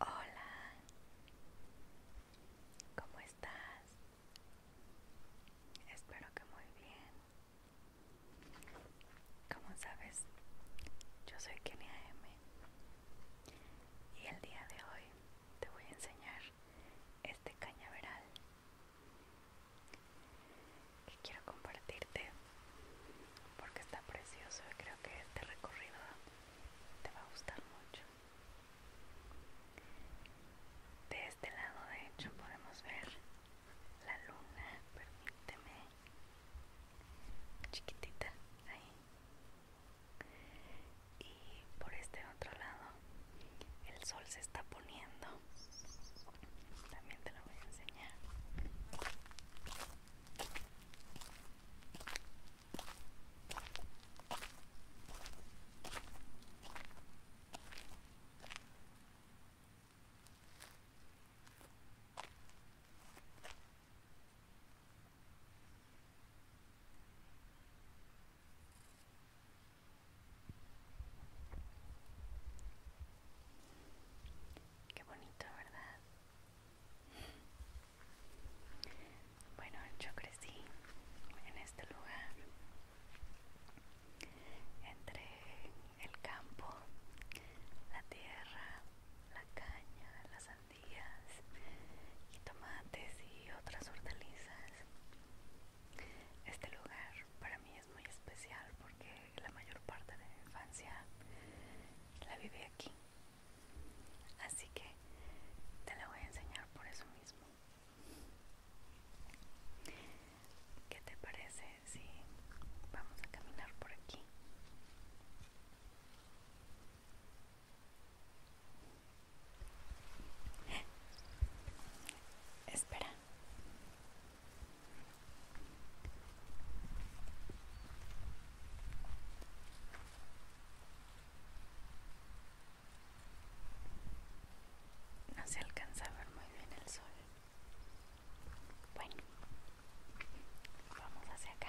Hola, ¿cómo estás? Espero que muy bien. Como sabes, yo soy Kenia M. Y el día de hoy te voy a enseñar este cañaveral que quiero compartirte porque está precioso y creo que este recorrido te va a gustar mucho. De este lado de hecho podemos ver la luna, permíteme, chiquitita, ahí. Y por este otro lado el sol se está poniendo también te lo voy a enseñar. Qué bonito, ¿verdad? Bueno, yo crecí en este lugar, entre el campo, la tierra, la caña, las sandías y tomates y otras hortalizas. Este lugar para mí es muy especial porque la mayor parte de mi infancia la viví aquí. Así que te la voy a enseñar por eso mismo. ¿Qué te parece si vamos a caminar por aquí? Espera, no se alcanza a ver muy bien el sol. Bueno, vamos hacia acá.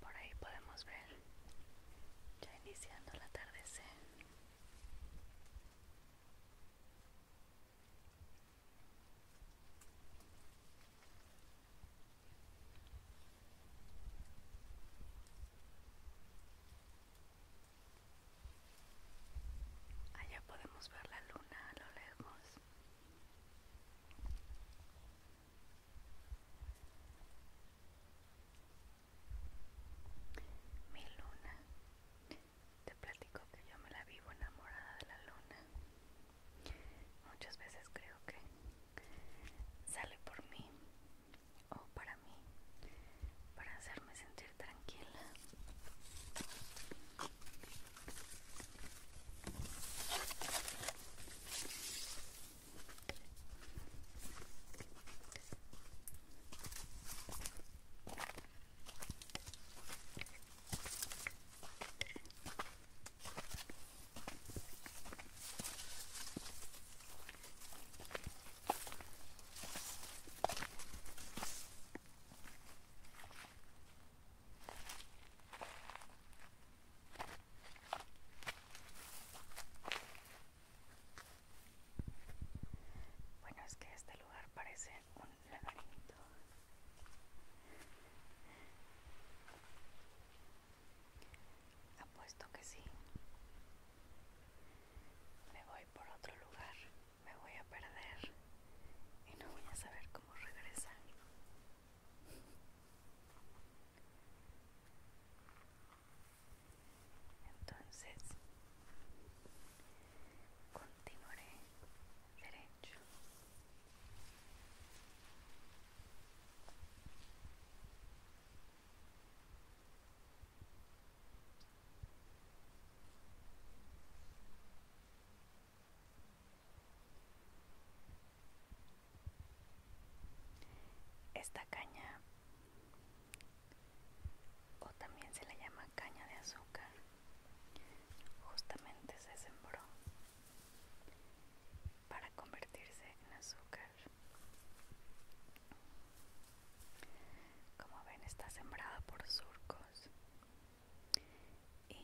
Por ahí podemos ver ya iniciando el atardecer. Allá ah, podemos ver la luna a lo lejos. Mi luna. Te platico que yo me la vivo enamorada de la luna. Muchas veces creo que sale por mí o para mí, para hacerme sentir tranquila. Bueno, es que este lugar parece un laberinto. Apuesto que sí. Me voy por otro lugar, me voy a perder y no voy a saber cómo regresar. Entonces, continuaré derecho. Esta caña, o también se le llama caña de azúcar, justamente se sembró para convertirse en azúcar. Como ven está sembrada por surcos y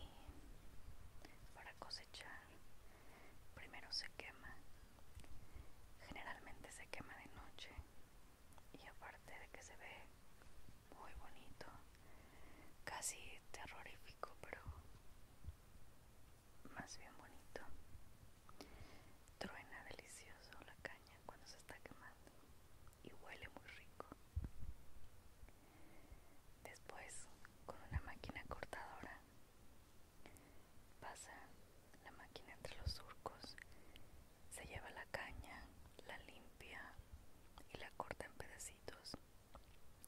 para cosechar primero se quema. Generalmente se quema de noche y aparte de que se ve muy bonito, casi terrorífico, pero más bien bonito. Truena delicioso la caña cuando se está quemando y huele muy rico. Después, con una máquina cortadora, pasa la máquina entre los surcos, se lleva la caña, la limpia y la corta en pedacitos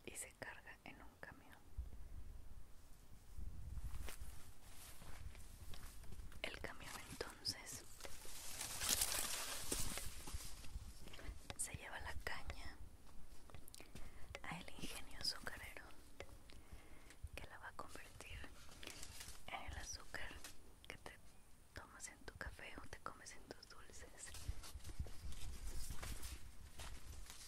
y se carga en un camión. El camión entonces se lleva la caña a el ingenio azucarero que la va a convertir en el azúcar que te tomas en tu café o te comes en tus dulces.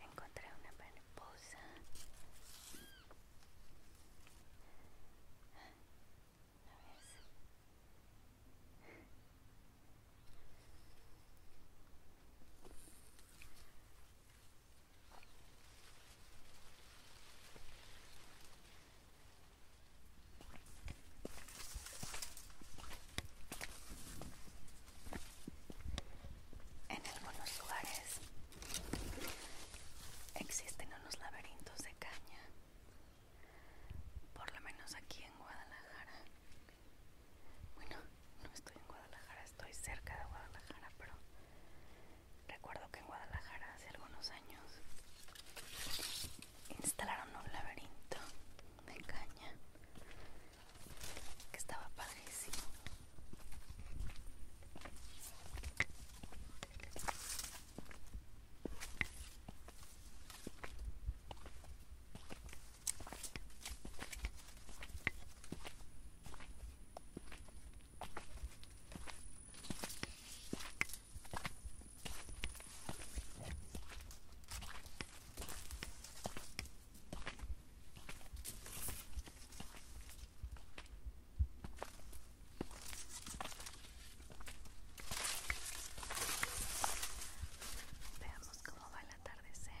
Encontré una mariposa. En algunos lugares existen unos laberintos de caña, por lo menos aquí en Guadalajara. Bueno, no estoy en Guadalajara, estoy cerca de Guadalajara, pero Recuerdo que en Guadalajara hace algunos años instalaron un laberinto de caña que estaba padrísimo. Veamos cómo va el atardecer.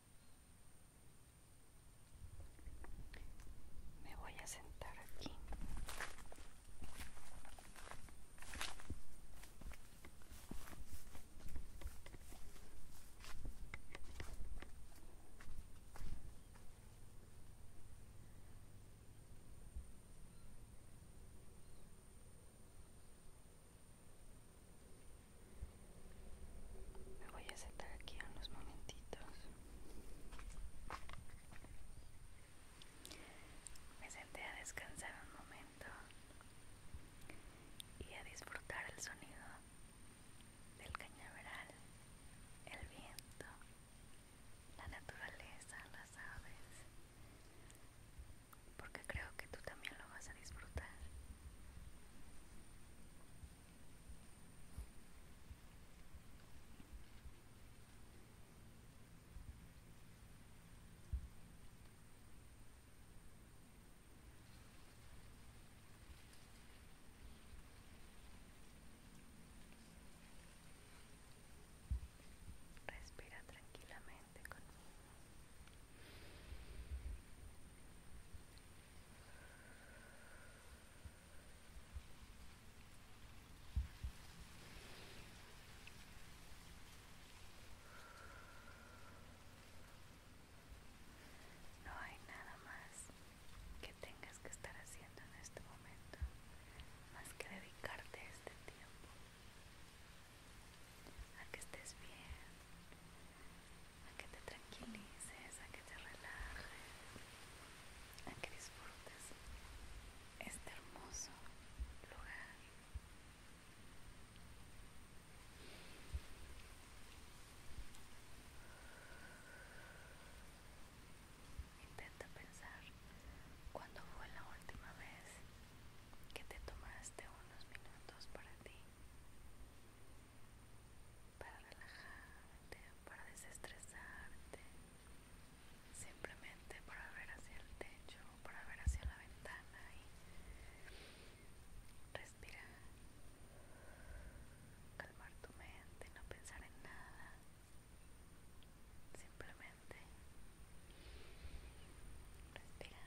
Me voy a sentar aquí. Me voy a sentar aquí unos momentitos. Me senté a descansar un momento y a disfrutar el sonido del cañaveral, el viento, la naturaleza, las aves, porque creo que tú también lo vas a disfrutar. Respira tranquilamente conmigo. No hay nada más que tengas que estar haciendo en este momento más que dedicarte este tiempo a que estés bien, a que te tranquilices, a que te relajes, a que disfrutes este hermoso lugar. Intenta pensar cuándo fue la última vez que te tomaste unos minutos para ti para relajarte, para desestresarte, simplemente para ver hacia el techo, para ver hacia la ventana y respirar, calmar tu mente, no pensar en nada, simplemente respirar.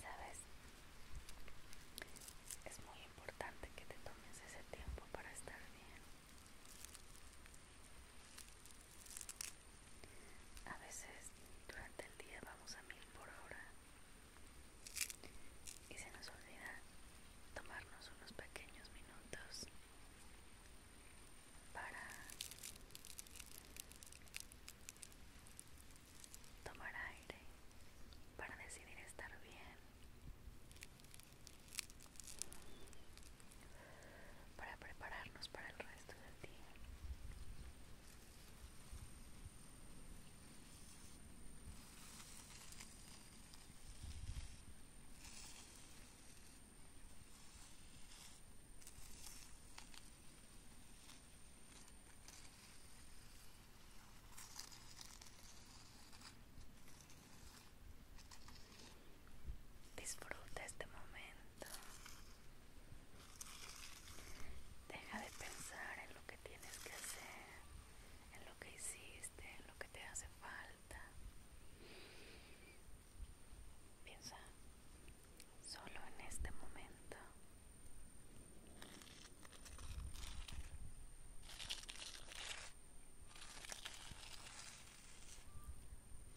Sabes, es muy importante que te tomes ese tiempo para estar bien. A veces durante el día vamos a mil por hora y se nos olvida tomarnos unos pequeños minutos para tomar aire, para decidir estar bien, para prepararnos para el resto del día. Disfruta este momento. Deja de pensar en lo que tienes que hacer, en lo que hiciste, en lo que te hace falta. Piensa solo en este momento.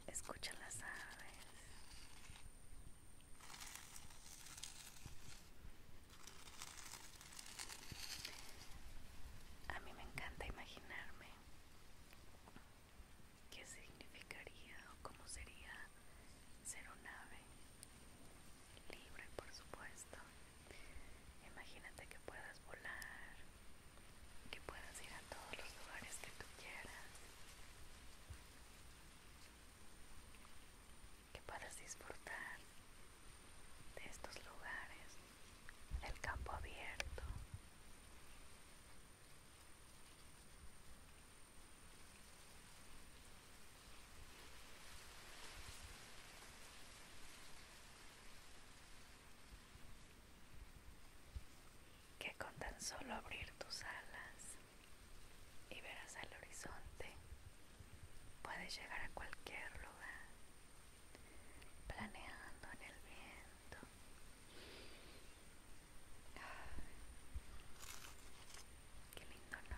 Escucha las aves. A mí me encanta imaginarme qué significaría o cómo sería ser un ave libre, por supuesto. Imagínate que puedas volar, que puedas ir a todos los lugares que tú quieras que puedas disfrutar de estos lugares, el campo abierto que con tan solo abrir tus alas y verás el horizonte, puedes llegar a cualquier lugar, planeando en el viento. Ah, qué lindo, ¿no?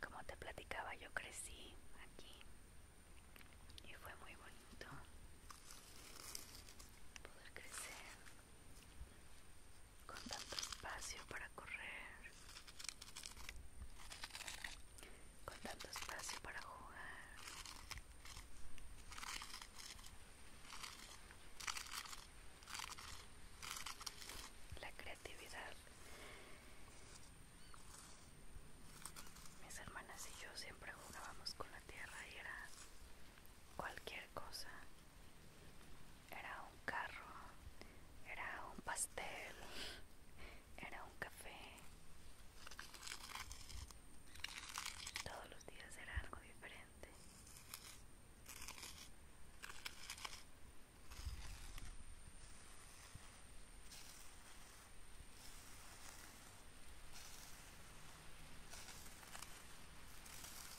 Como te platicaba, yo crecí aquí y fue muy bonito poder crecer con tanto espacio para correr, con tanto espacio para jugar. La creatividad. Mis hermanas y yo siempre jugábamos con la tierra y era cualquier cosa era un carro, era un pastel, era un café. Todos los días era algo diferente.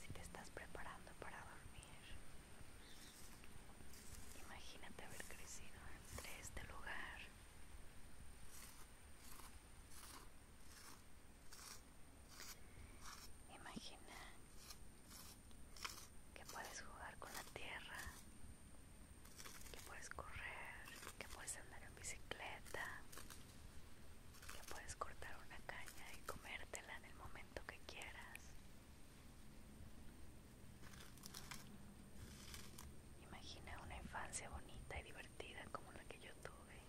Si te estás preparando para dormir, imagínate haber crecido entre este lugar Imagina que puedes jugar con la tierra, que puedes correr, que puedes andar en bicicleta, que puedes cortar una caña y comértela en el momento que quieras. Imagina una infancia bonita y divertida como la que yo tuve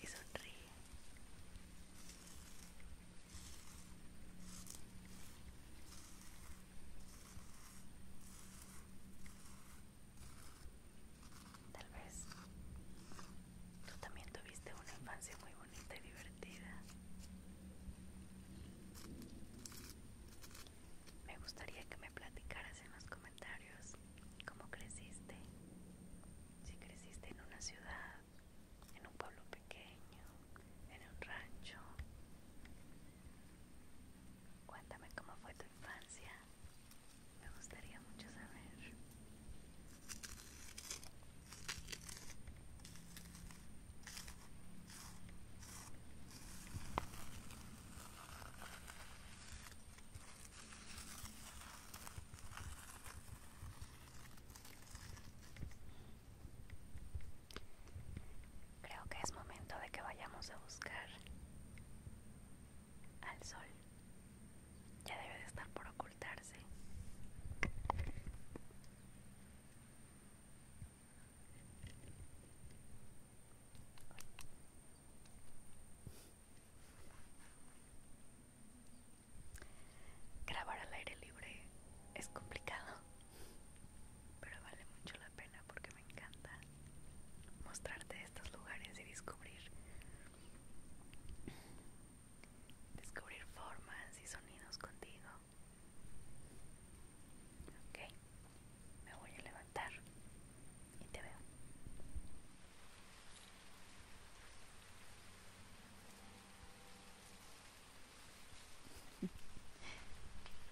y sonríe. Tal vez tú también tuviste una infancia muy bonita y divertida. Me gustaría que me platicaras en los comentarios cómo creciste, si creciste en una ciudad en un pueblo pequeño, en un rancho. Cuéntame cómo fue tu infancia. Me gustaría mucho saber. Creo que es momento de que vayamos a buscar al sol. Ya debe de estar por ocultarse. Grabar al aire libre es complicado, pero vale mucho la pena porque me encanta mostrarte estos lugares y descubrir descubrir formas y sonidos contigo. Ok, me voy a levantar y te veo.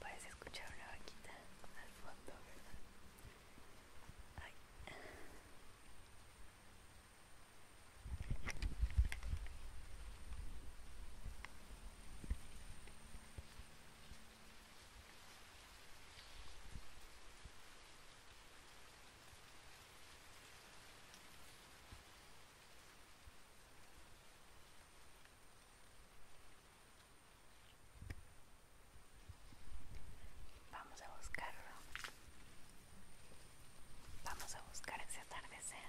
Parece escuchar una vaquita al fondo, ¿verdad? Ay. Vamos a buscarlo. Vamos a buscar ese atardecer.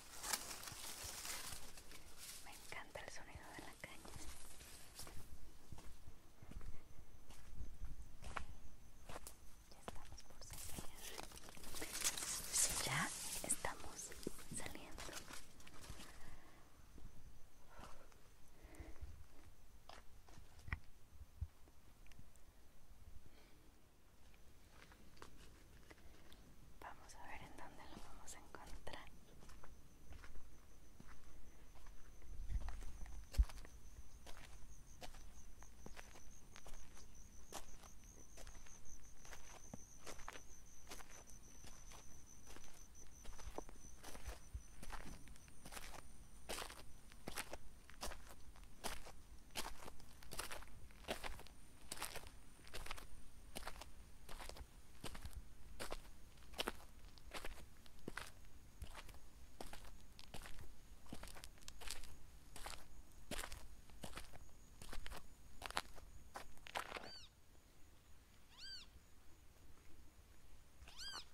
Me encanta el sonido de la caña. Ya estamos por salir. Ya estamos saliendo. Vamos a ver en dónde lo vamos a encontrar.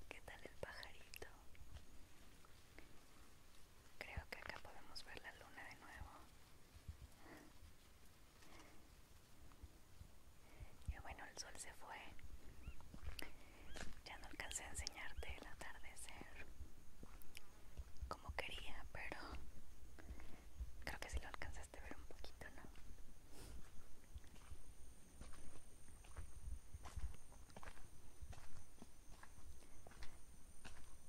¿Qué tal el pajarito? Creo que acá podemos ver la luna de nuevo. Y bueno, el sol se fue. Ya no alcancé a enseñarte el atardecer como quería, pero creo que sí lo alcanzaste a ver un poquito, ¿no?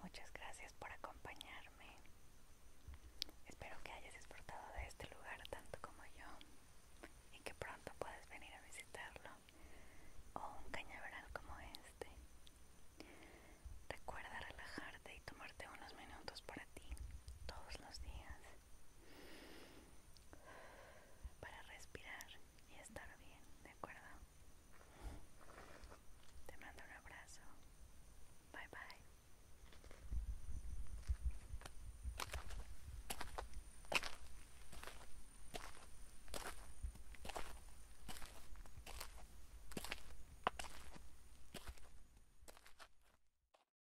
Muchas gracias por acompañarme. Espero que hayas disfrutado de este lugar tanto como yo y que pronto puedas venir a visitarlo o un cañaveral como este. Recuerda relajarte y tomarte unos minutos para ti todos los días para respirar y estar bien, ¿de acuerdo? Te mando un abrazo. Bye bye.